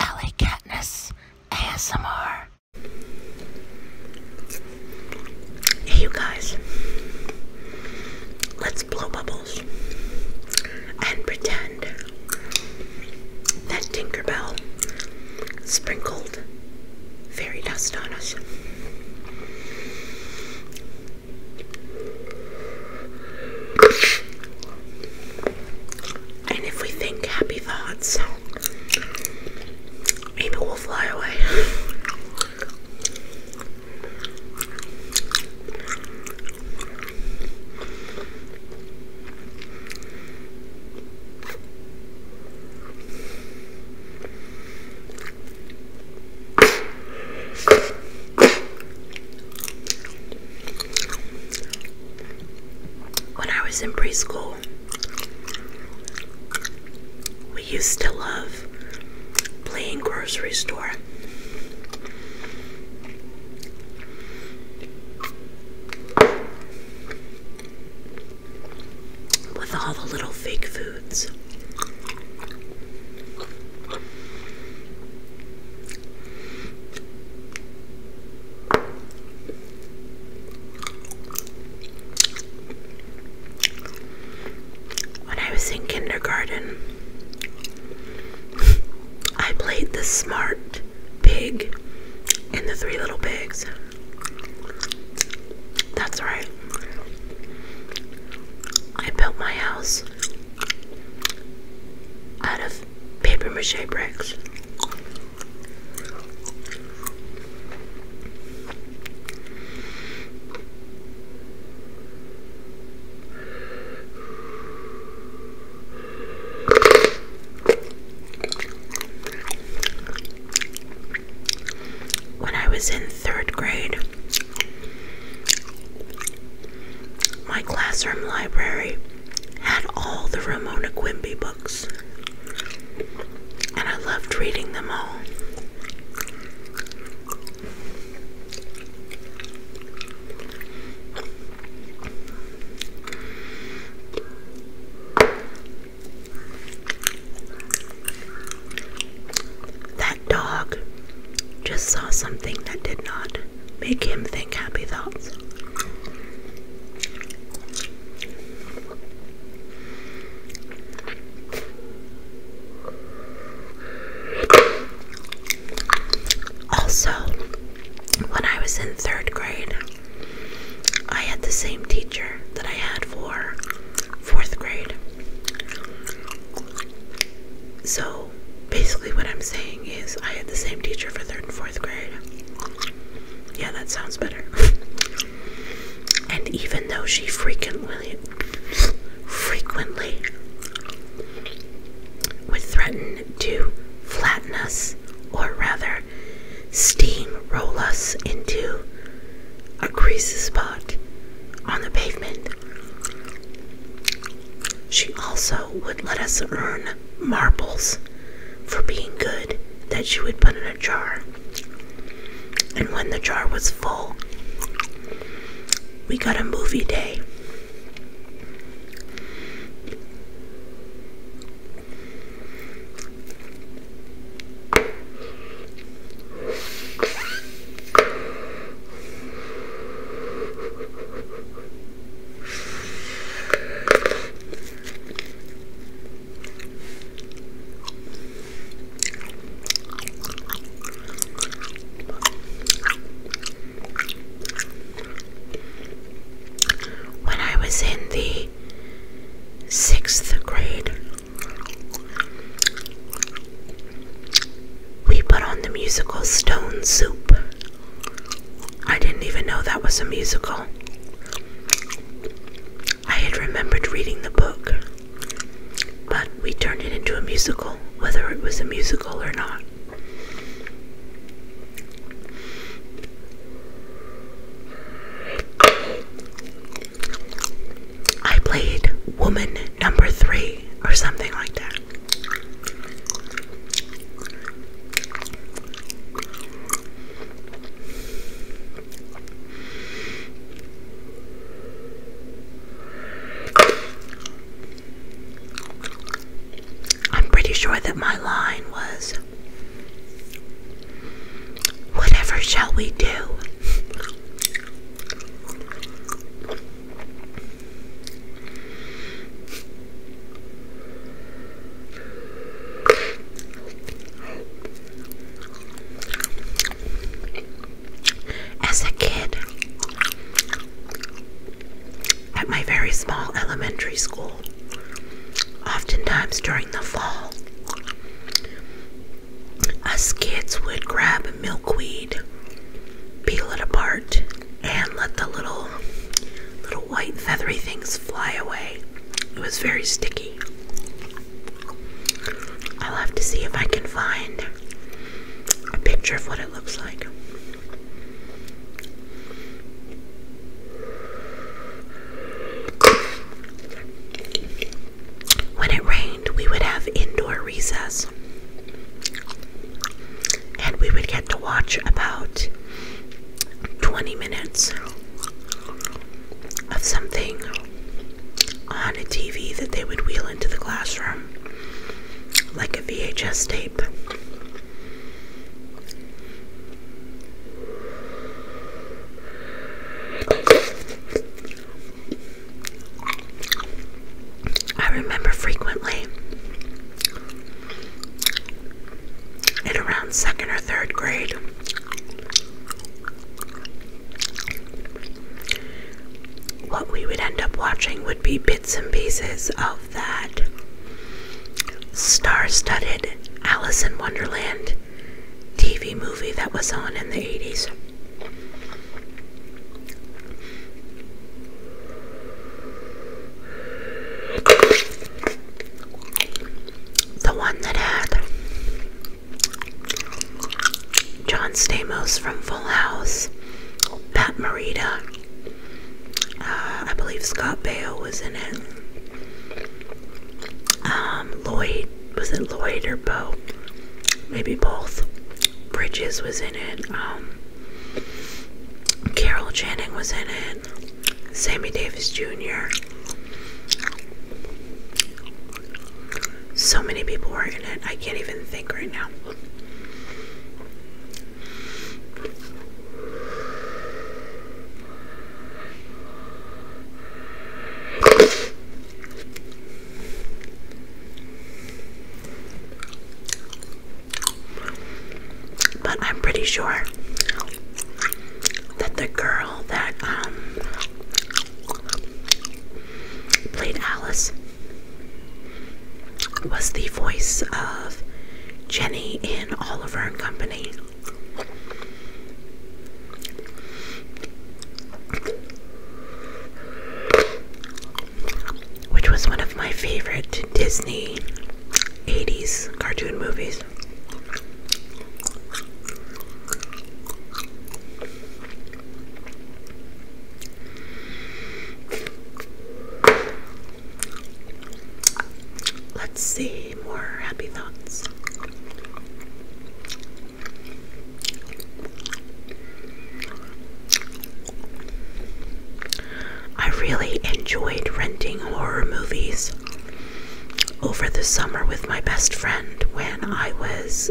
LA Katniss ASMR. Hey, you guys, let's blow bubbles and pretend that Tinkerbell sprinkled fairy dust on us. And if we think happy thoughts, maybe we'll fly away. When I was in preschool, we used to love playing grocery store. With all the little fake foods. When I was in kindergarten, I played the smart pig in the Three Little Pigs. That's right. I built my house out of paper mache bricks. When I was in third grade, my classroom library had all the Ramona Quimby books, and I loved reading them all. That dog just saw something that did not. Make him think happy thoughts. Also, when I was in third grade, I had the same teacher that I had for fourth grade. So basically, what I'm saying is, I had the same teacher for third and fourth grade. Yeah, that sounds better. and even though she frequently, frequently would threaten to flatten us, or rather, steam roll us into a greasy spot on the pavement. She also would let us earn marbles for being good that she would put in a jar. And when the jar was full, we got a movie day. When I was in the sixth grade, we put on the musical Stone Soup. I didn't even know that was a musical. I had remembered reading the book, but we turned it into a musical, whether it was a musical or not. I played woman number three or something like that. I'm pretty sure that my line was whatever shall we do? As a kid at my very small elementary school, oftentimes during the fall, us kids would grab milkweed, peel it apart, and let the little little white feathery things fly away. It was very sticky. I'll have to see if I can find a picture of what it looks like. When it rained, we would have indoor recess and we would get to watch about 20 minutes of something on a TV that they would wheel into the classroom, like a VHS tape. I remember frequently in around second or third grade what we would end up watching would be bits and pieces of that star-studded Alice in Wonderland TV movie that was on in the 80s. The one that had John Stamos from Full House, Pat Morita, uh, I believe Scott Baio was in it. Um, Lloyd, was it Lloyd or Bo? Maybe both. Bridges was in it. Um, Carol Channing was in it. Sammy Davis Jr. So many people were in it. I can't even think right now. But I'm pretty sure that the girl that um, played Alice was the voice of Jenny in *All Oliver and Company which was one of my favorite Disney 80s cartoon movies. Let's see more happy thoughts. I really enjoyed renting horror movies over the summer with my best friend when I was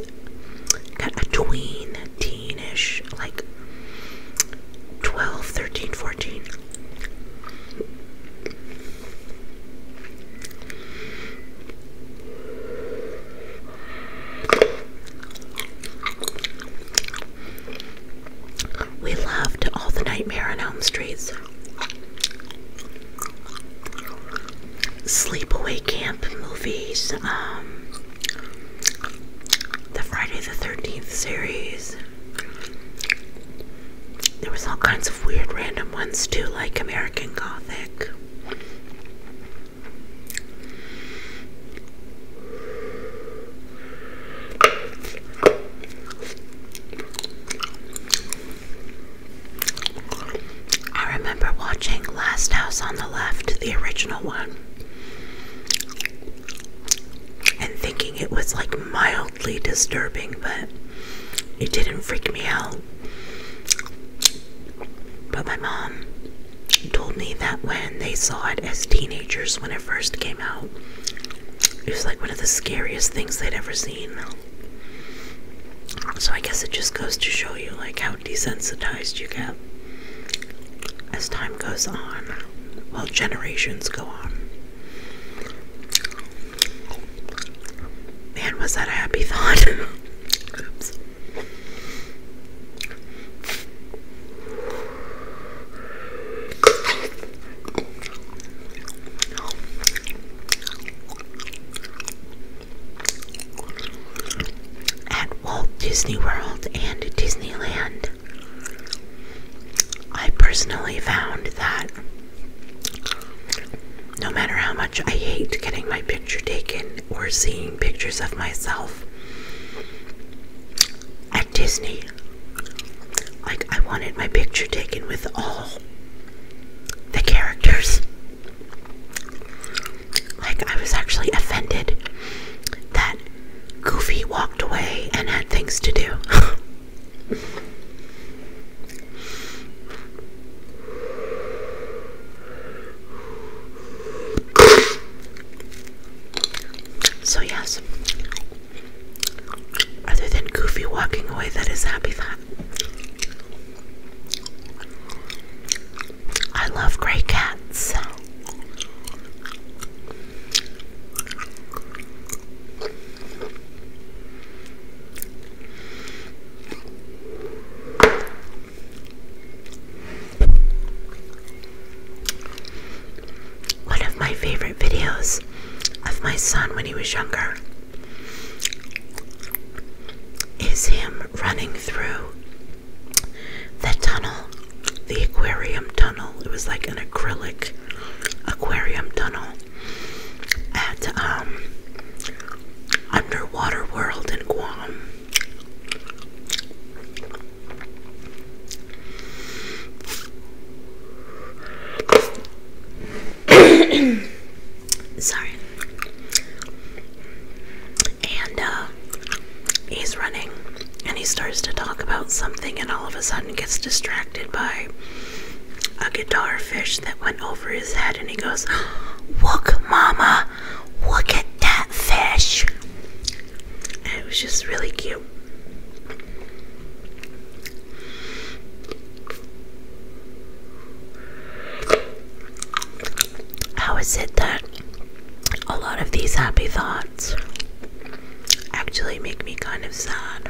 a tween, teenish, like 12, 13, 14. We loved all the Nightmare on Elm Streets. Sleepaway Camp movies, um, the Friday the 13th series. There was all kinds of weird random ones too, like American Gothic. I remember watching Last House on the Left, the original one, and thinking it was like mildly disturbing, but it didn't freak me out. But my mom told me that when they saw it as teenagers when it first came out, it was like one of the scariest things they'd ever seen. So I guess it just goes to show you like how desensitized you get as time goes on, well generations go on. Man, was that a happy thought? Oops. At Walt Disney World and Disneyland, I personally found that no matter how much I hate getting my picture taken, or seeing pictures of myself at Disney. Like, I wanted my picture taken with all the characters. Like, I was actually offended that Goofy walked away and had things to do. So, yes, other than Goofy walking away, that is happy thought. I love gray cats. One of my favorite videos of my son when he was younger is him running through the tunnel, the aquarium tunnel. It was like an acrylic aquarium tunnel at um, Underwater World in Guam. Sorry. And uh, he's running and he starts to talk about something, and all of a sudden gets distracted by a guitar fish that went over his head, and he goes, Look, Mama! look at that fish. it was just really cute. How is it that a lot of these happy thoughts actually make me kind of sad?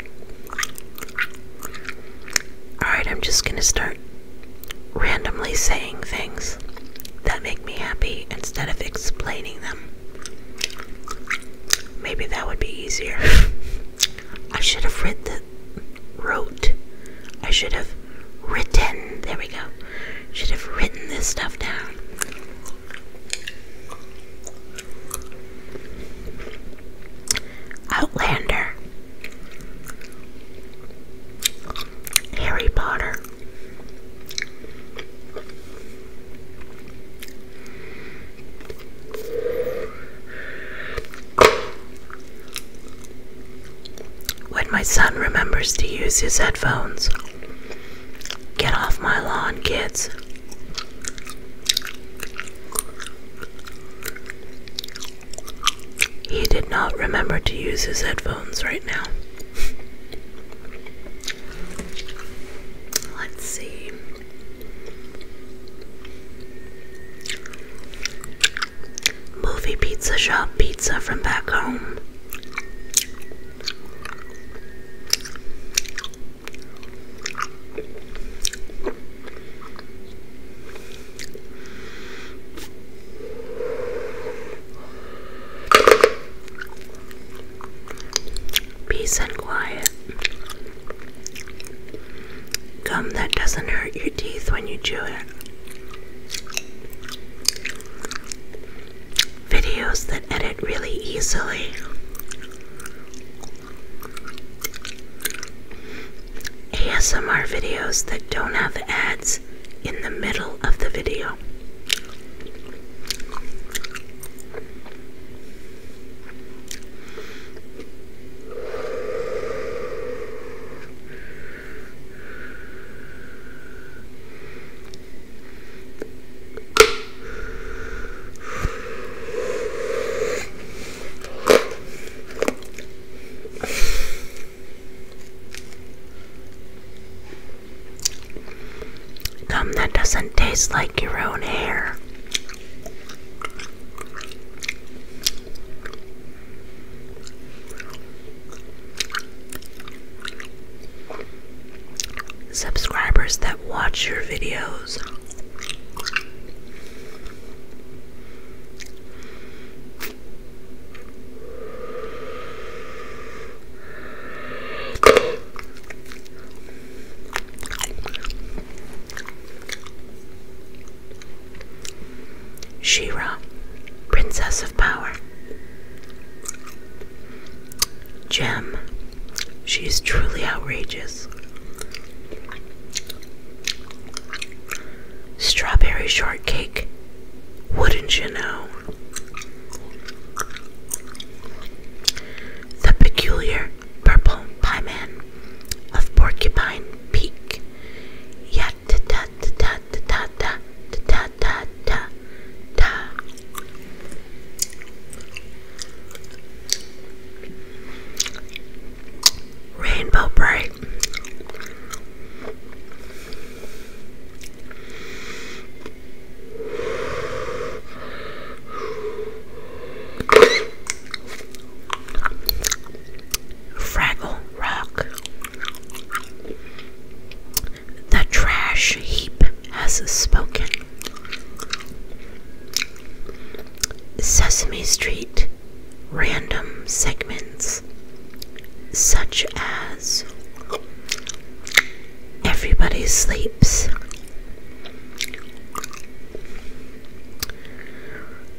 Alright, I'm just gonna start randomly saying things that make me happy instead of explaining them. Maybe that would be easier. I should have written, the wrote. I should have written. There we go. Should have written this stuff down. Outlander, Harry Potter, when my son remembers to use his headphones. Get off my lawn, kids. He did not remember to use his headphones right now. Let's see. Movie pizza shop pizza from back home. Peace and quiet. Gum that doesn't hurt your teeth when you chew it. Videos that edit really easily. ASMR videos that don't have ads in the middle of the video. Gum that doesn't taste like your own hair. Subscribers that watch your videos. Shira, Princess of Power. Gem, she is truly outrageous. Strawberry shortcake, wouldn't you know? The peculiar purple pie man of Porcupine Peak. Yat ta ta ta ta ta ta ta ta ta ta ta. Rainbow bright. Fraggle Rock. The trash heap has spoken. Sesame Street random segments such as Everybody Sleeps,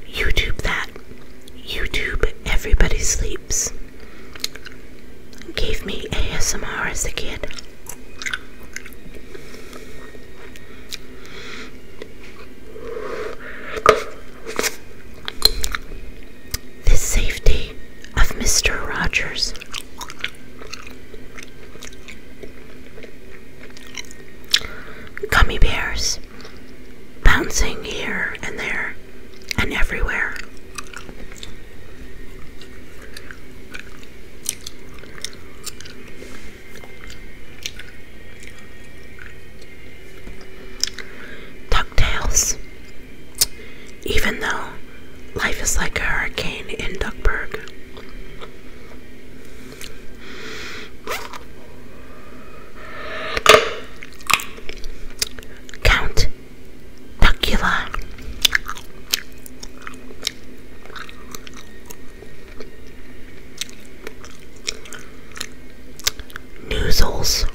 YouTube that, YouTube Everybody Sleeps. Gave me ASMR as a kid. The safety of Mr. Rogers. Gummy bears bouncing here and there and everywhere. DuckTales. Even though life is like a hurricane in Duckburg. Count Duckula. Noozles.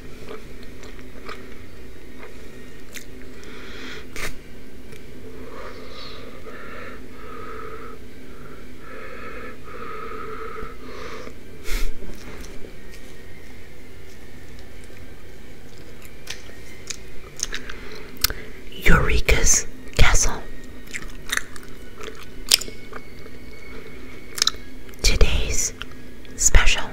Eureka's Castle. Today's special.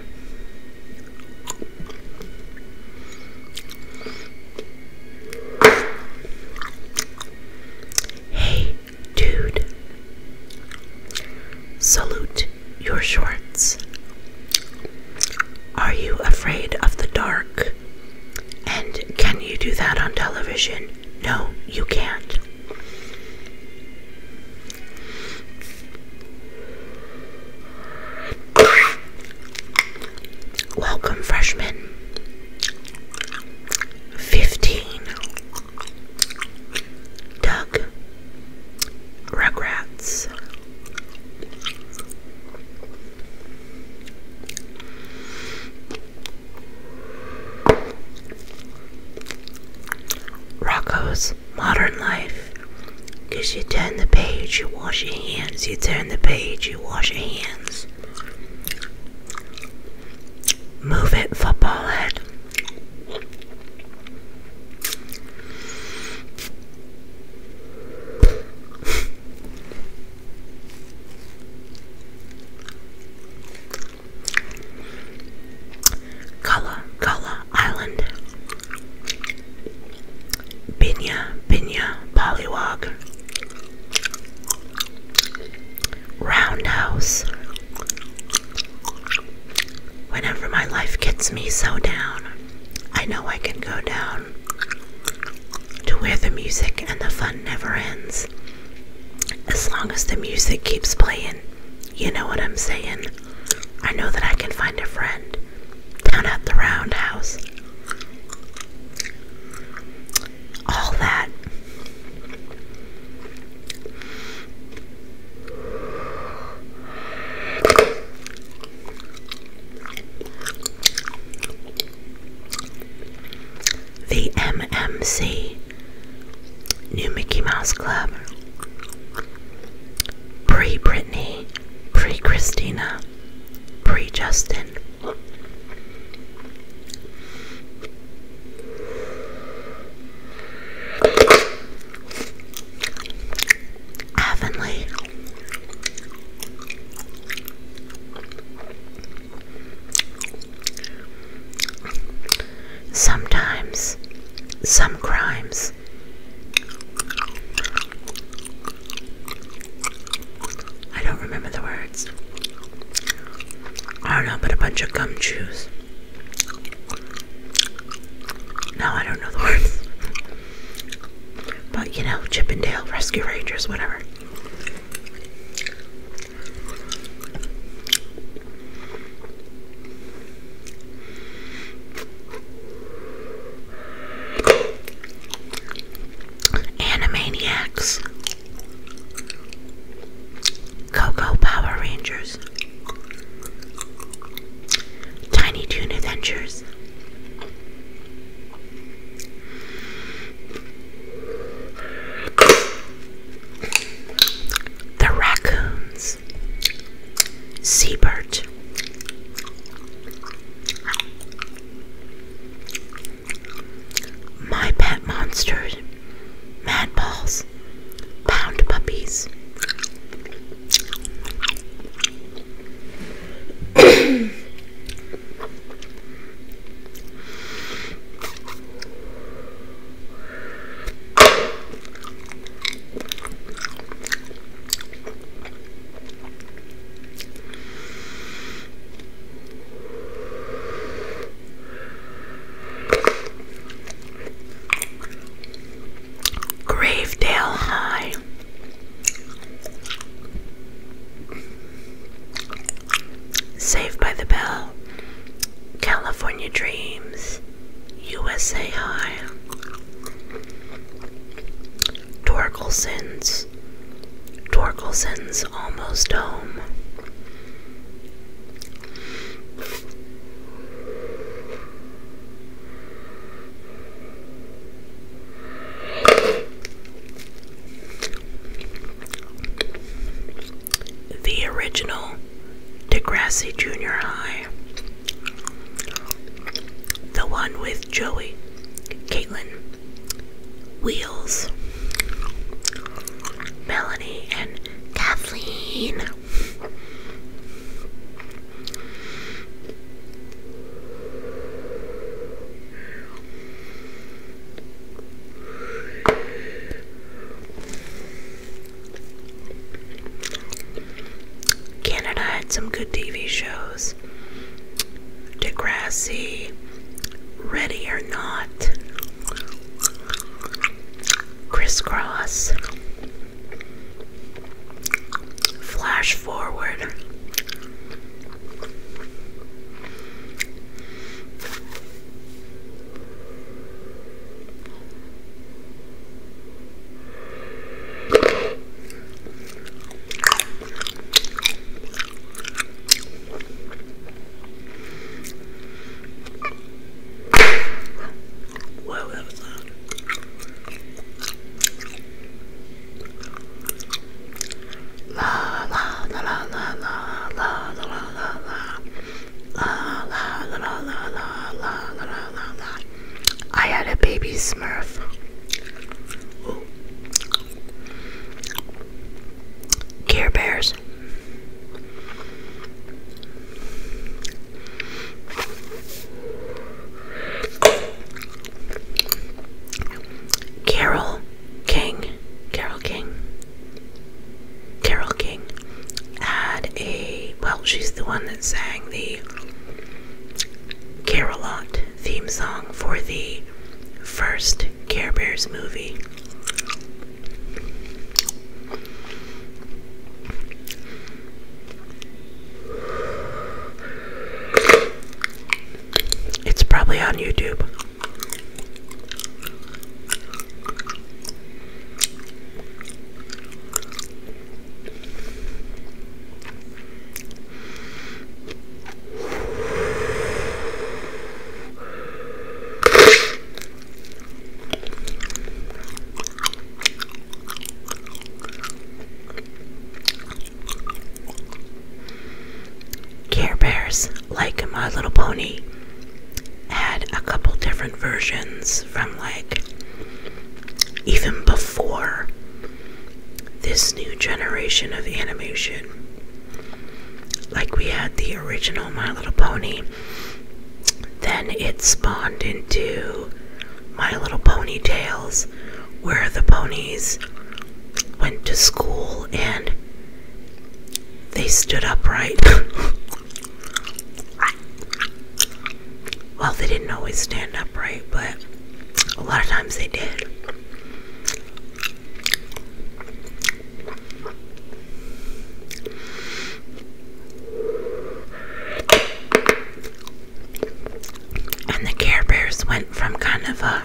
Hey, dude. Salute your shorts. Are you afraid of the dark? And can you do that on television? No, you can't. Welcome, freshman. 15. Doug. Rugrats. Rocco's Modern Life. Because you turn the page, you wash your hands. You turn the page, you wash your hands. Move it, football head. Gullah Gullah Island, Binya Binya Pollywog, Roundhouse. Whenever my life gets me so down, I know I can go down to where the music and the fun never ends. As long as the music keeps playing, you know what I'm saying? I know that I can find a friend down at the roundhouse. All that. The MMC New Mickey Mouse Club Pre Britney, Pre Christina, Pre Justin. Avonlea Sometimes, some crimes I don't remember the words. I don't know, but a bunch of gum chews. No, I don't know the words. But you know, Chippendale, Rescue Rangers, whatever. Animaniacs, Coco Power Rangers, Tiny Toon Adventures, the raccoons, seabird, my pet monsters, madballs, pound puppies. Gravedale High Saved by the Bell, California Dreams, USA High, Torkelson's, Torkelson's Almost Home. The original Degrassi Junior High. The one with Joey, Caitlin, Wheels, Melanie, and Kathleen. Canada had some good TV shows. Degrassi, Ready or Not, Crisscross, Flash forward. Whoa, that was loud. La la la la la la la la la la la. La la la la la la la la la la. I had a baby smurf. Ooh. Care Bears. Carol King, Carol King, Carol King had a, well, she's the one that sang the Carolot theme song for the first Care Bears movie. It's probably on YouTube. Care Bears, like My Little Pony, had a couple different versions from like even before this new generation of animation. Like we had the original My Little Pony, then it spawned into My Little Pony Tales, where the ponies went to school and they stood upright. well, they didn't always stand upright, but a lot of times they did. And the Care Bears went from kind of a,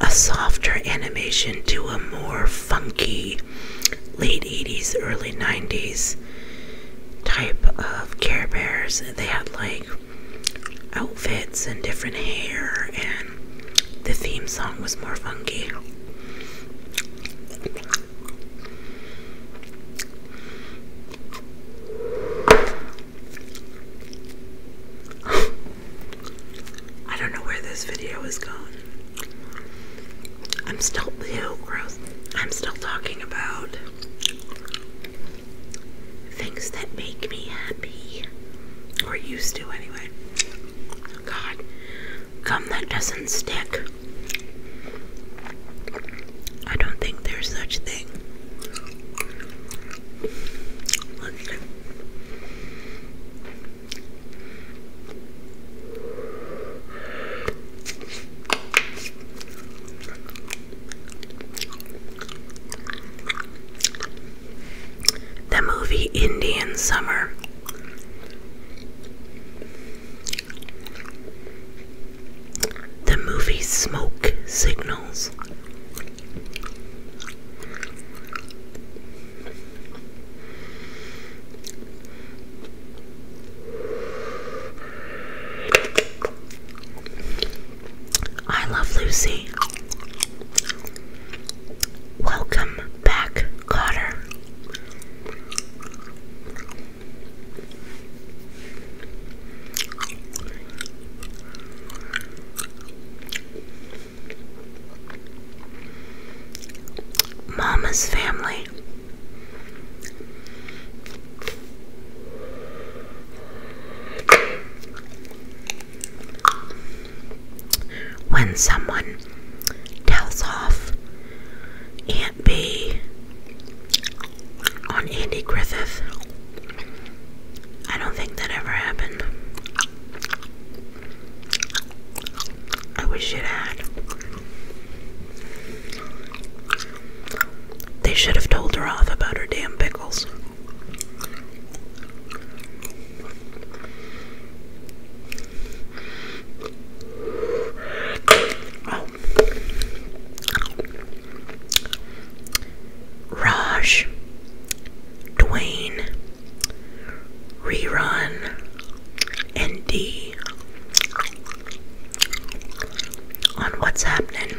a softer animation to a more funky late 80s, early 90s type of Care Bears. They had like outfits and different hair, and the theme song was more funky. I don't know where this video is going. I'm still ew, gross. I'm still talking about things that make me happy. Or used to anyway. God. Gum that doesn't stick. I don't think there's such thing. The movie Indian Summer the movie Smoke Signals. I love Lucy. Welcome back, Cotter. Mama's family. When someone tells off Aunt B on Andy Griffith. I don't think that ever happened. I wish it had. They should have told her off about her damn pickles. Oh. Raj, Dwayne, Rerun, and on what's happening.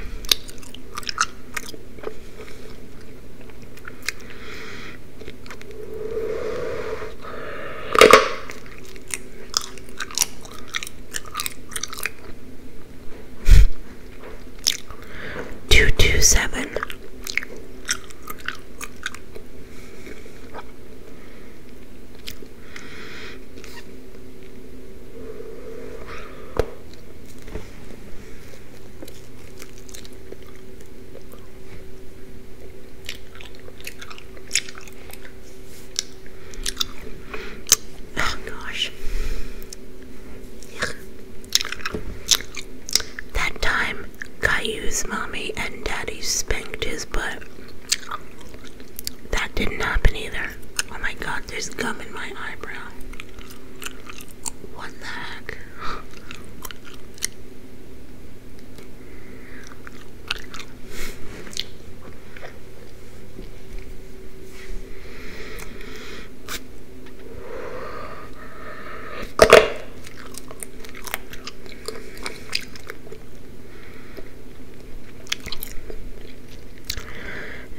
Two two seven. Oh gosh. That time Caillou's mommy and daddy spanked his butt. That didn't happen either. Oh my god, there's gum in my eyebrow. What the heck?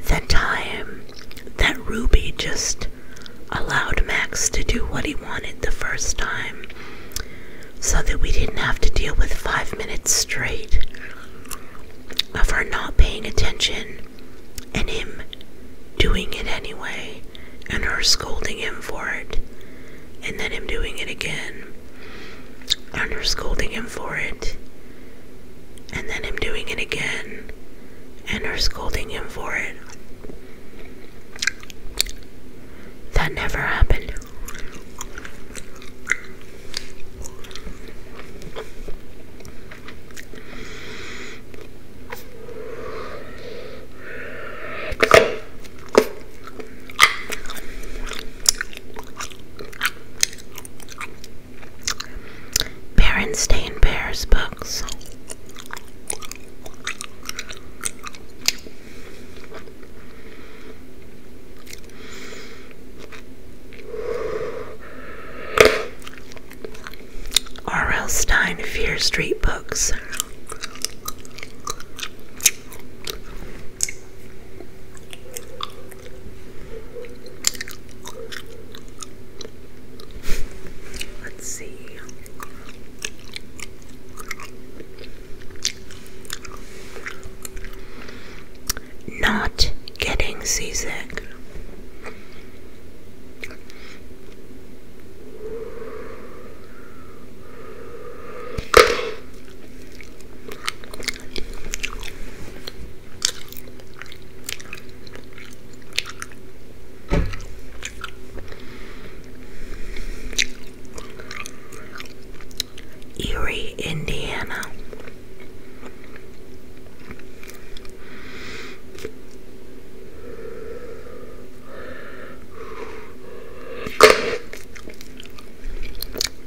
The time that Ruby just allowed Max to do what he wanted the first time so that we didn't have to deal with five minutes straight of her not paying attention and him doing it anyway and her scolding him for it and then him doing it again and her scolding him for it and then him doing it again and her scolding him for it that never happened Berenstain Bears books. R.L. Stein Fear Street Books. Let's see not getting seasick. Erie, Indiana.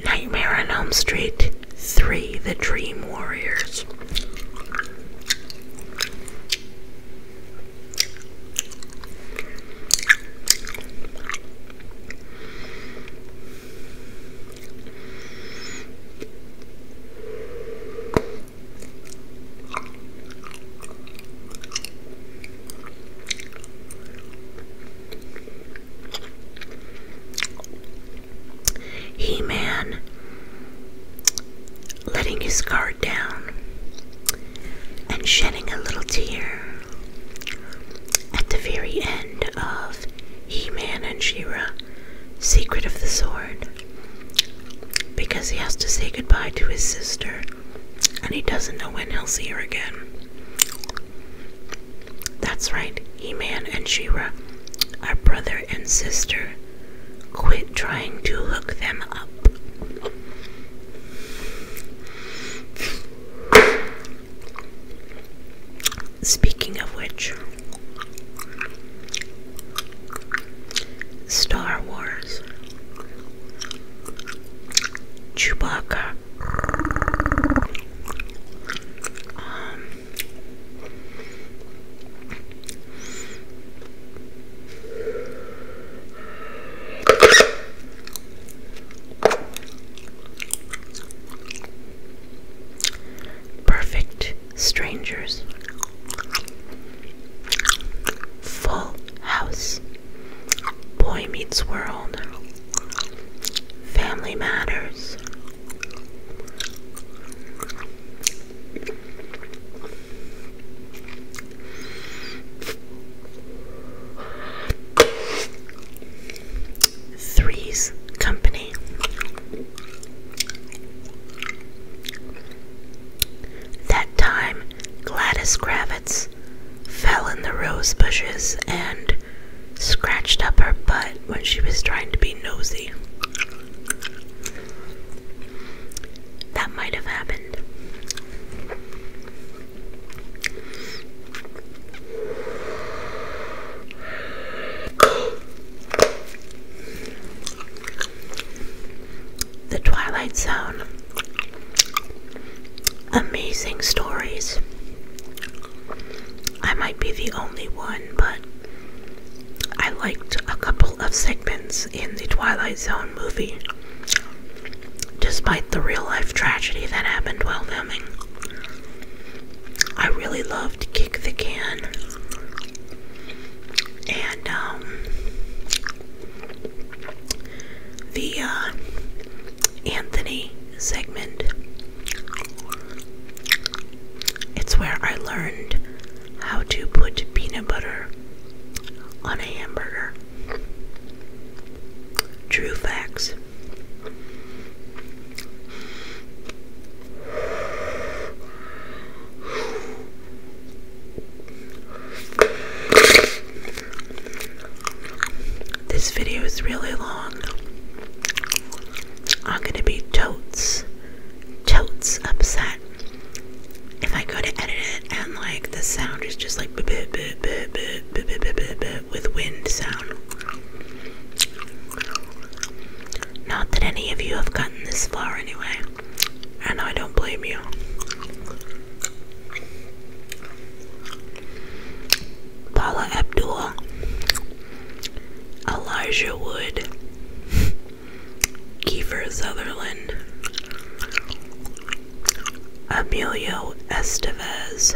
Nightmare on Elm Street 3 The Dream Warriors. He Man letting his guard down and shedding a little tear. At the very end of He and Shira, Secret of the Sword, because he has to say goodbye to his sister and he doesn't know when he'll see her again. That's right, He and Shira, Ra, our brother and sister. Quit trying to look them up. Speaking of which, Star Wars. Chewbacca. Um, Perfect Strangers, Full House, Boy Meets World, Family Matters. Three's Company. That time, Gladys Kravitz fell in the rose bushes and scratched up her butt when she was trying to be nosy. That might have happened. The Twilight Zone. Amazing stories. I might be the only one, but I liked a couple of segments in the Twilight Zone movie, despite the real life tragedy that happened while filming. I really loved Kick the Can. And um the uh Anthony segment. It's where I learned how to put peanut butter on a hamburger. True facts. This video is really long. I'm gonna be totes, totes upset if I go to edit it and like the sound is just like with wind sound. Not that any of you have gotten this far anyway, and I don't blame you. Paula Abdul, Elijah Wood, Kiefer Sutherland, Emilio Estevez,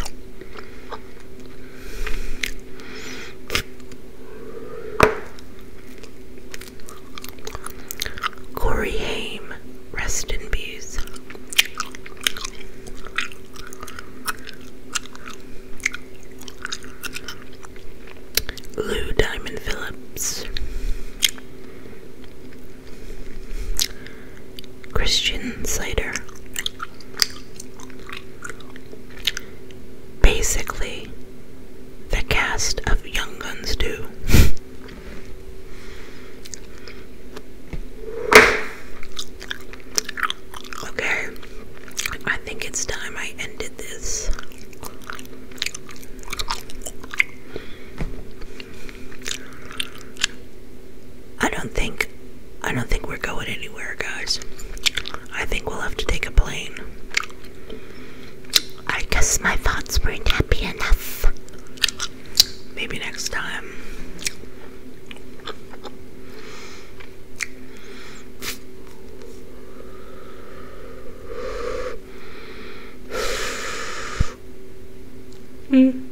Corey Haim, rest in peace. Lou Diamond Phillips. Christian cider. Basically, the cast of Young Guns do. okay, I think it's time I ended this. I don't think I don't think going anywhere, guys. I think we'll have to take a plane. I guess my thoughts weren't happy enough. Maybe next time. Mm.